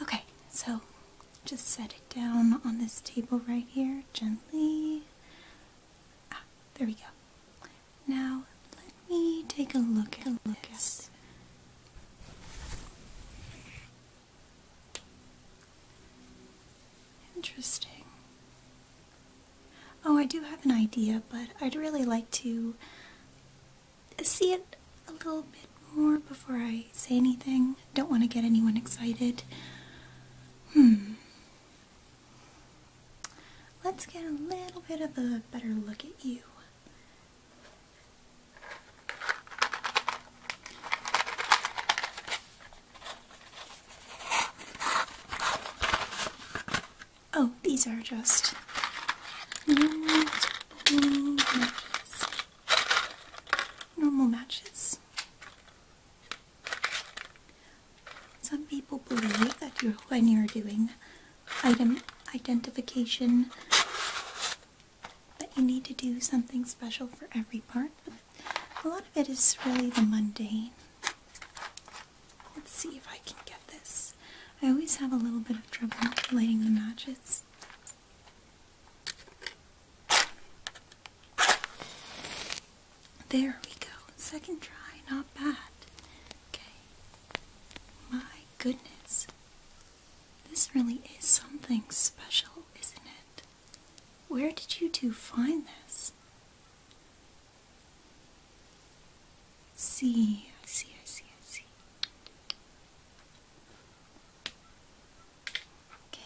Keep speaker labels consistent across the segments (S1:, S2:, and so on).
S1: Okay, so just set it down on this table right here gently. Ah, there we go. Now let me take a look at a this. Interesting. Oh, I do have an idea, but I'd really like to see it a little bit more before I say anything. Don't want to get anyone excited. Hmm. Let's get a little bit of a better look at you. Oh, these are just normal matches. Some people believe that when you're doing item identification, that you need to do something special for every part. a lot of it is really the mundane. Let's see if I can get this. I always have a little bit of trouble lighting the matches. There we go. Second try, not bad. Okay. My goodness. This really is something special, isn't it? Where did you two find this? See, I see, I see, I see. Okay.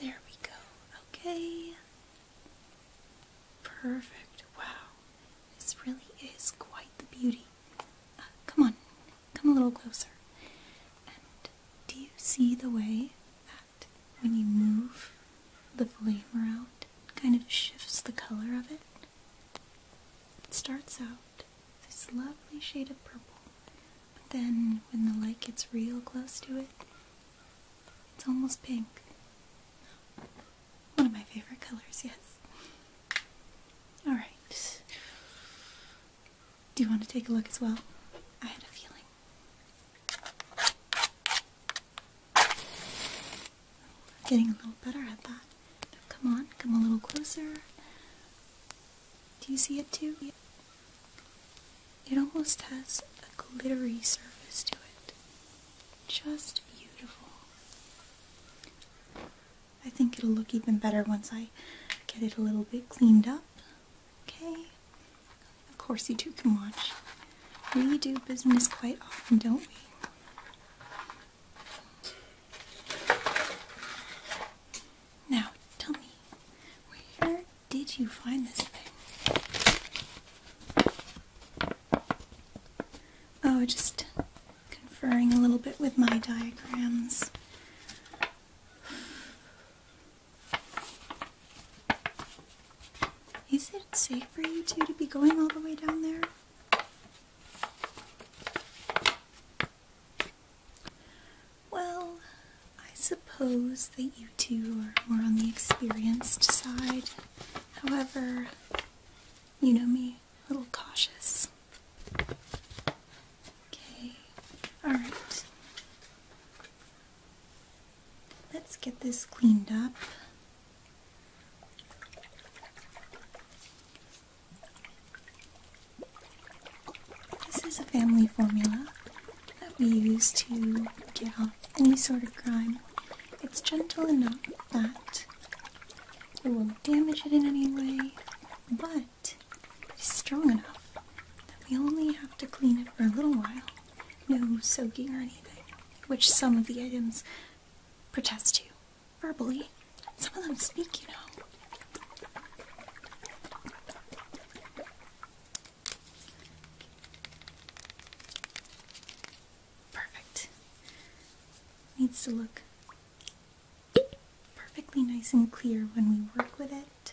S1: There we go. Okay. Perfect. Wow. This really is quite the beauty. Uh, come on. Come a little closer. And do you see the way when you move the flame around, it kind of shifts the color of it. It starts out this lovely shade of purple, but then when the light gets real close to it, it's almost pink. One of my favorite colors, yes. Alright. Do you want to take a look as well? I had a feeling. Getting a little better at that. come on, come a little closer. Do you see it too? It almost has a glittery surface to it. Just beautiful. I think it'll look even better once I get it a little bit cleaned up. Okay. Of course you two can watch. We do business quite often, don't we? Now, tell me, where did you find this thing? Oh, just conferring a little bit with my diagrams. Is it safe for you two to be going all the way down there? Well, I suppose that you two are more on the experienced side. However, you know me, a little cautious. Okay, alright. Let's get this cleaned up. This is a family formula that we use to get off any sort of grime. It's gentle enough that it won't damage it in any way, but it's strong enough that we only have to clean it for a little while no soaking or anything, which some of the items protest to verbally. Some of them speak, you know. Perfect. Needs to look perfectly nice and clear when we work with it.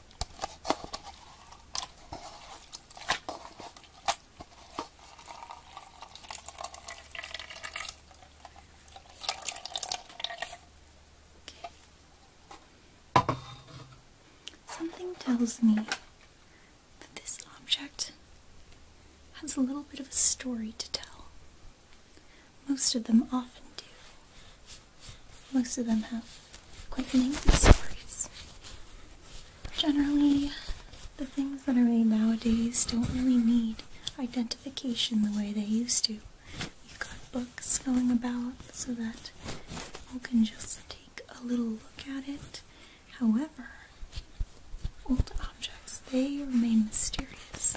S1: Something tells me that this object has a little bit of a story to tell. Most of them often do. Most of them have quite lengthy stories. Generally, the things that are made nowadays don't really need identification the way they used to. You've got books going about so that all can just take a little look at it. However, old objects, they remain mysterious,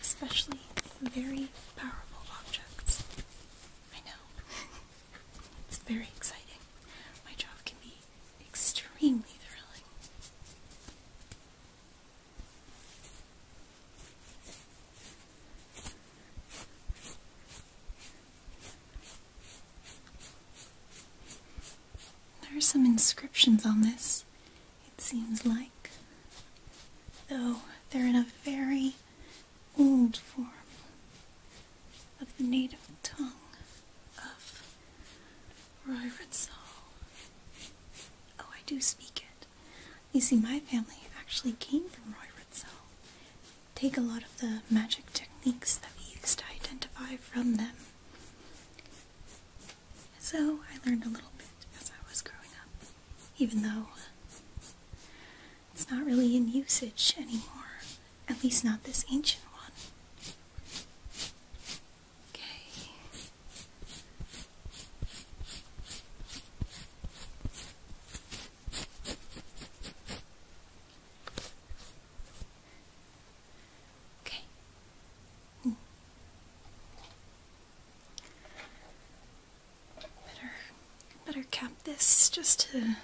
S1: especially very powerful objects. I know. It's very exciting. My job can be extremely thrilling. There are some inscriptions on this, it seems like, though they're in a very old form of the native tongue of Royritzal. Oh, I do speak it. You see, my family actually came from Royritzal. Take a lot of the magic techniques that we used to identify from them. So I learned a little bit as I was growing up, even though it's not really in usage anymore, at least not this ancient one. Okay. Okay. Hmm. Better, better cap this just to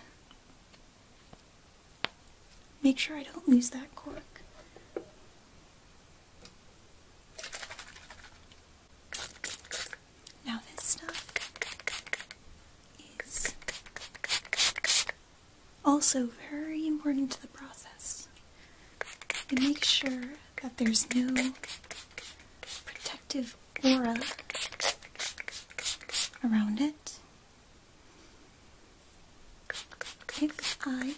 S1: make sure I don't lose that cork. Now this stuff is also very important to the process. To make sure that there's no protective aura around it. If I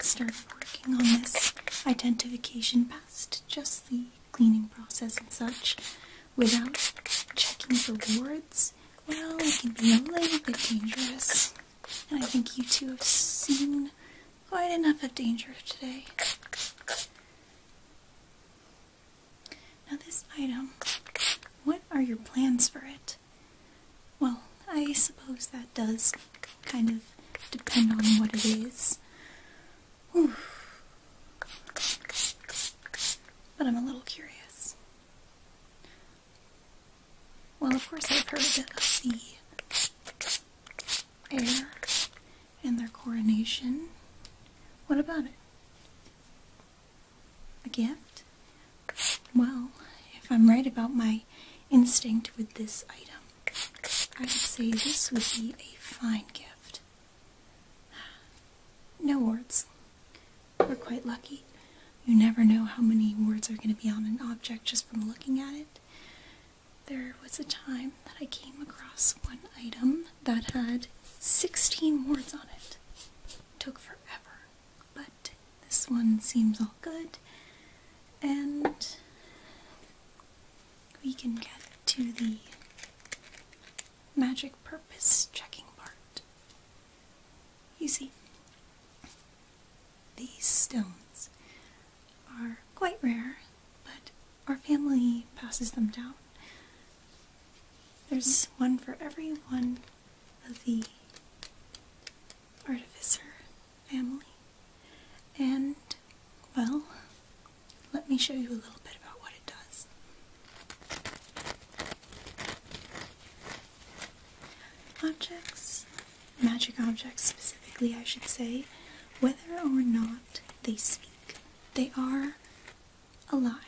S1: start working on this identification past just the cleaning process and such without checking the wards, well, it can be a little bit dangerous. And I think you two have seen quite enough of danger today. Now, this item, what are your plans for it? Well, I suppose that does kind of depend on what it is. But I'm a little curious. Well, of course, I've heard of the air and their coronation. What about it? A gift? Well, if I'm right about my instinct with this item, I would say this would be a fine gift. No words. We're quite lucky. You never know how many words are going to be on an object just from looking at it. There was a time that I came across one item that had 16 words on it. Took forever, but this one seems all good, and we can get to the magic purpose checking part. You see, these stones are quite rare, but our family passes them down. There's one for every one of the artificer family. And, well, let me show you a little bit about what it does. Objects, magic objects specifically, I should say, whether or not they speak, they are alive.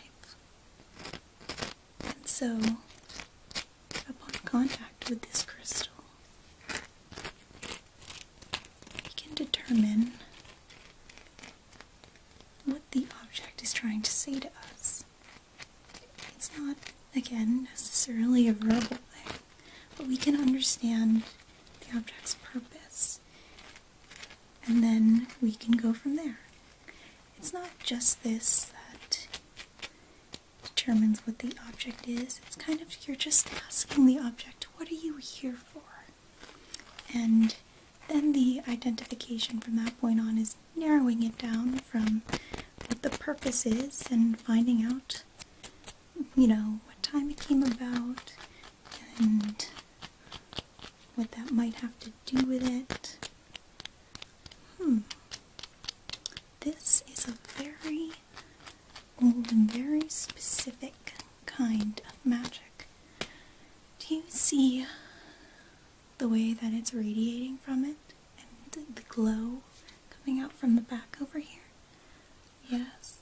S1: And so, upon contact with this crystal, we can determine what the object is trying to say to us. It's not, again, necessarily a verbal thing, but we can understand the object's purpose and then we can go from there. It's not just this that determines what the object is, it's kind of you're just asking the object, What are you here for? And then the identification from that point on is narrowing it down from what the purpose is and finding out, you know, what time it came about and what that might have to do with it. Hmm. This is a very old and very specific kind of magic. Do you see the way that it's radiating from it and the glow coming out from the back over here? Yes.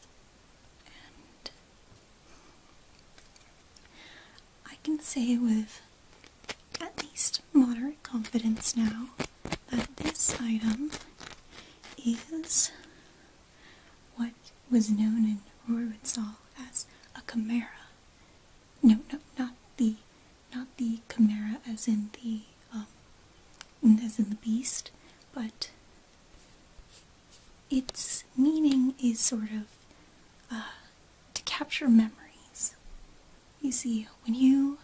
S1: I can say with at least moderate confidence now that this item is what was known in Rohrwitzal as a chimera. No, no, not the, not the chimera as in the, um, as in the beast, but its meaning is sort of uh, to capture memories. You see, when you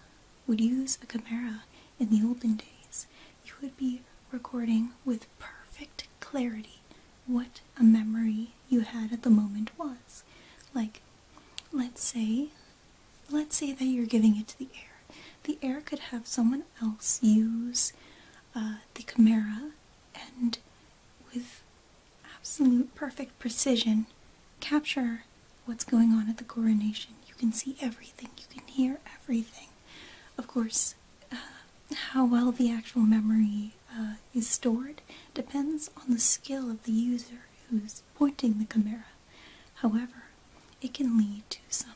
S1: would use a Camera in the olden days, you would be recording with perfect clarity what a memory you had at the moment was. Like, let's say, let's say that you're giving it to the air. The air could have someone else use uh, the camera and with absolute perfect precision capture what's going on at the coronation. You can see everything, you can hear everything. Of course, uh, how well the actual memory uh, is stored depends on the skill of the user who's pointing the camera. However, it can lead to some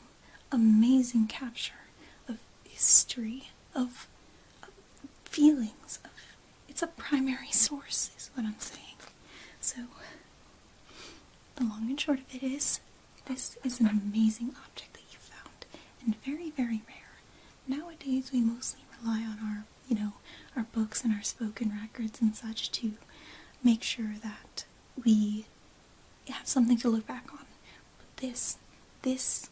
S1: amazing capture of history, of, feelings. Of, it's a primary source, is what I'm saying. So, the long and short of it is, this is an amazing object that you found, and very, very rare. Nowadays, we mostly rely on our, you know, our books and our spoken records and such to make sure that we have something to look back on. But this, this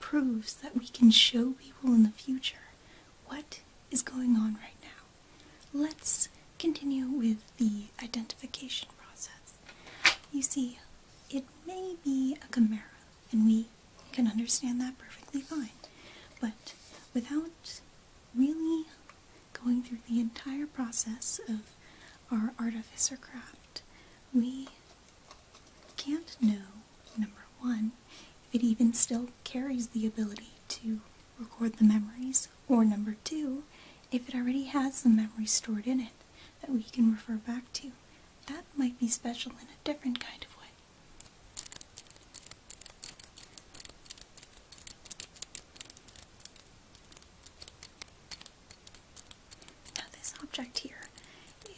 S1: proves that we can show people in the future what is going on right now. Let's continue with the identification process. You see, it may be a chimera, and we can understand that perfectly fine. But without really going through the entire process of our artificer craft, we can't know, number one, if it even still carries the ability to record the memories, or number two, if it already has the memories stored in it that we can refer back to. That might be special in a different kind of way. Now, this object here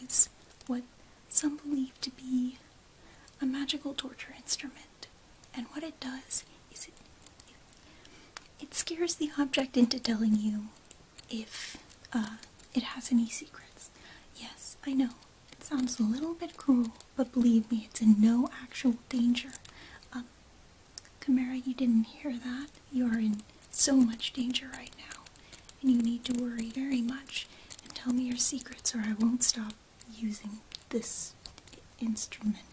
S1: is what some believe to be a magical torture instrument, and what it does is it it scares the object into telling you if uh, it has any secrets. Yes, I know it sounds a little bit cruel, but believe me, it's in no actual danger. Um, Camara, you didn't hear that. You are in so much danger right now, and you need to worry very much and tell me your secrets, or I won't stop using this instrument.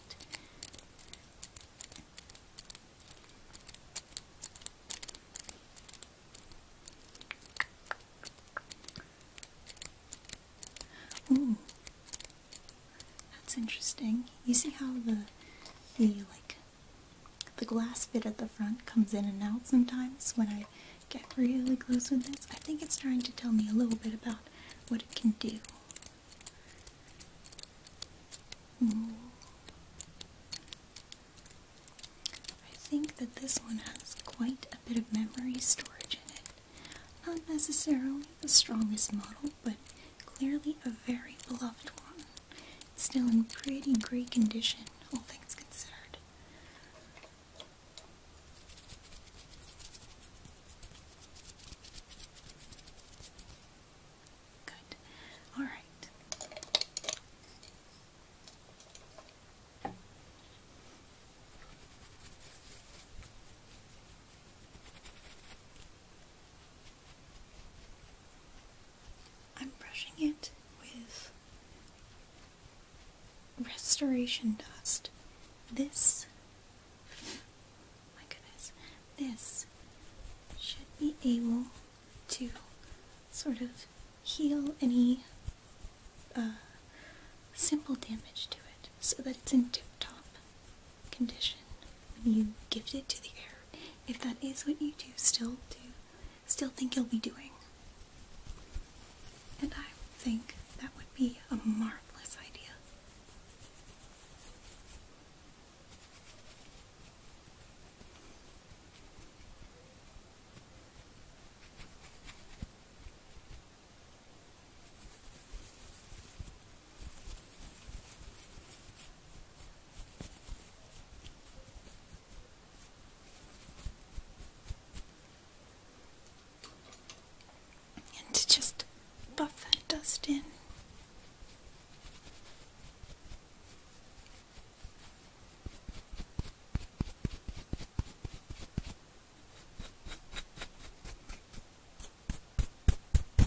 S1: Ooh, that's interesting. You see how the the like the glass bit at the front comes in and out sometimes when I get really close with this. I think it's trying to tell me a little bit about what it can do. I think that this one has quite a bit of memory storage in it. Not necessarily the strongest model, but Clearly a very beloved one. still in pretty great condition, all things considered. Good. Alright. I'm brushing it with restoration dust. This, my goodness, this should be able to sort of heal any uh, simple damage to it so that it's in tip top condition when you gift it to the air if that is what you do still do still think you'll be doing. And I think that would be a marvelous idea. And to just buff that dust in.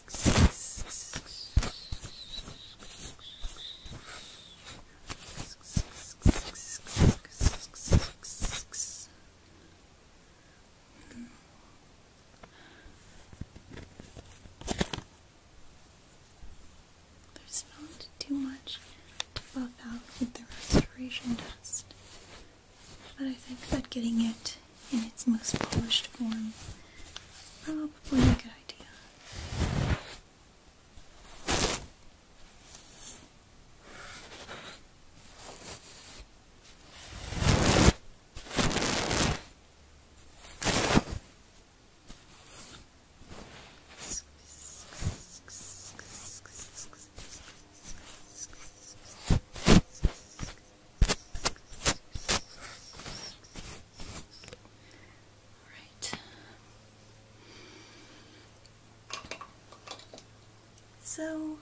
S1: There's not too much to buff out with the restoration dust, but I think I'm getting it in its most polished form. Probably a good idea. Alright. So,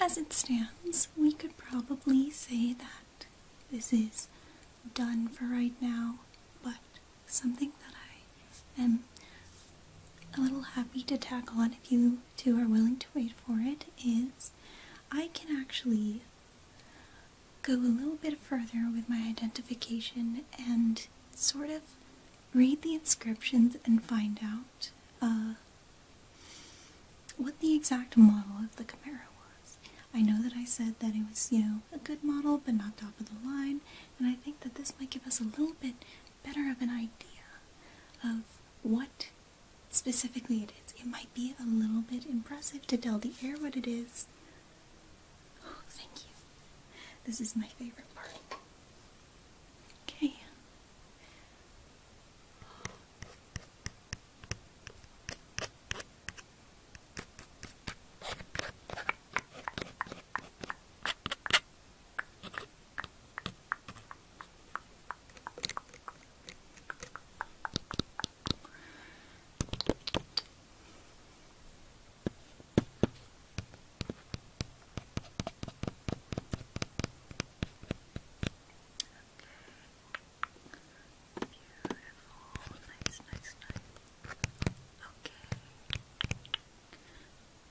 S1: as it stands, we could probably say that this is done for right now, but something that I am a little happy to tackle, and if you two are willing to wait for it is I can actually go a little bit further with my identification and sort of read the inscriptions and find out uh, what the exact model of the Camaro was. I know that I said that it was, you know, a good model but not top of the line, and I think that this might give us a little bit better of an idea of what specifically it is. It might be a little bit impressive to tell the air what it is. Oh, thank you. This is my favorite part. Okay. Beautiful. Nice, nice, nice. Okay.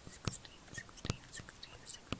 S1: 16, 16, 16, 16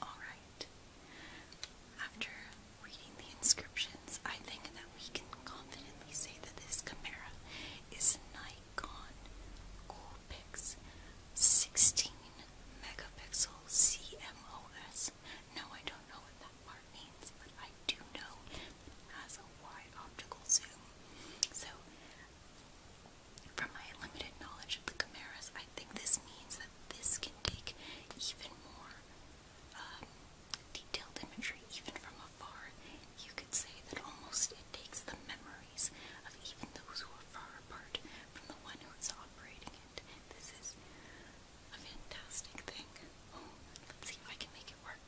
S1: Alright. After reading the inscriptions, I think that we can confidently say that this camera is Nikon Coolpix 16 megapixel CMOS. No, I don't know what that part means, but I do know it has a wide optical zoom so, from my limited knowledge of the chimeras, I think this means that this can take even more um, detailed imagery, even from afar. You could say that almost it takes the memories of even those who are far apart from the one who is operating it. This is a fantastic thing. Oh, let's see if I can make it work.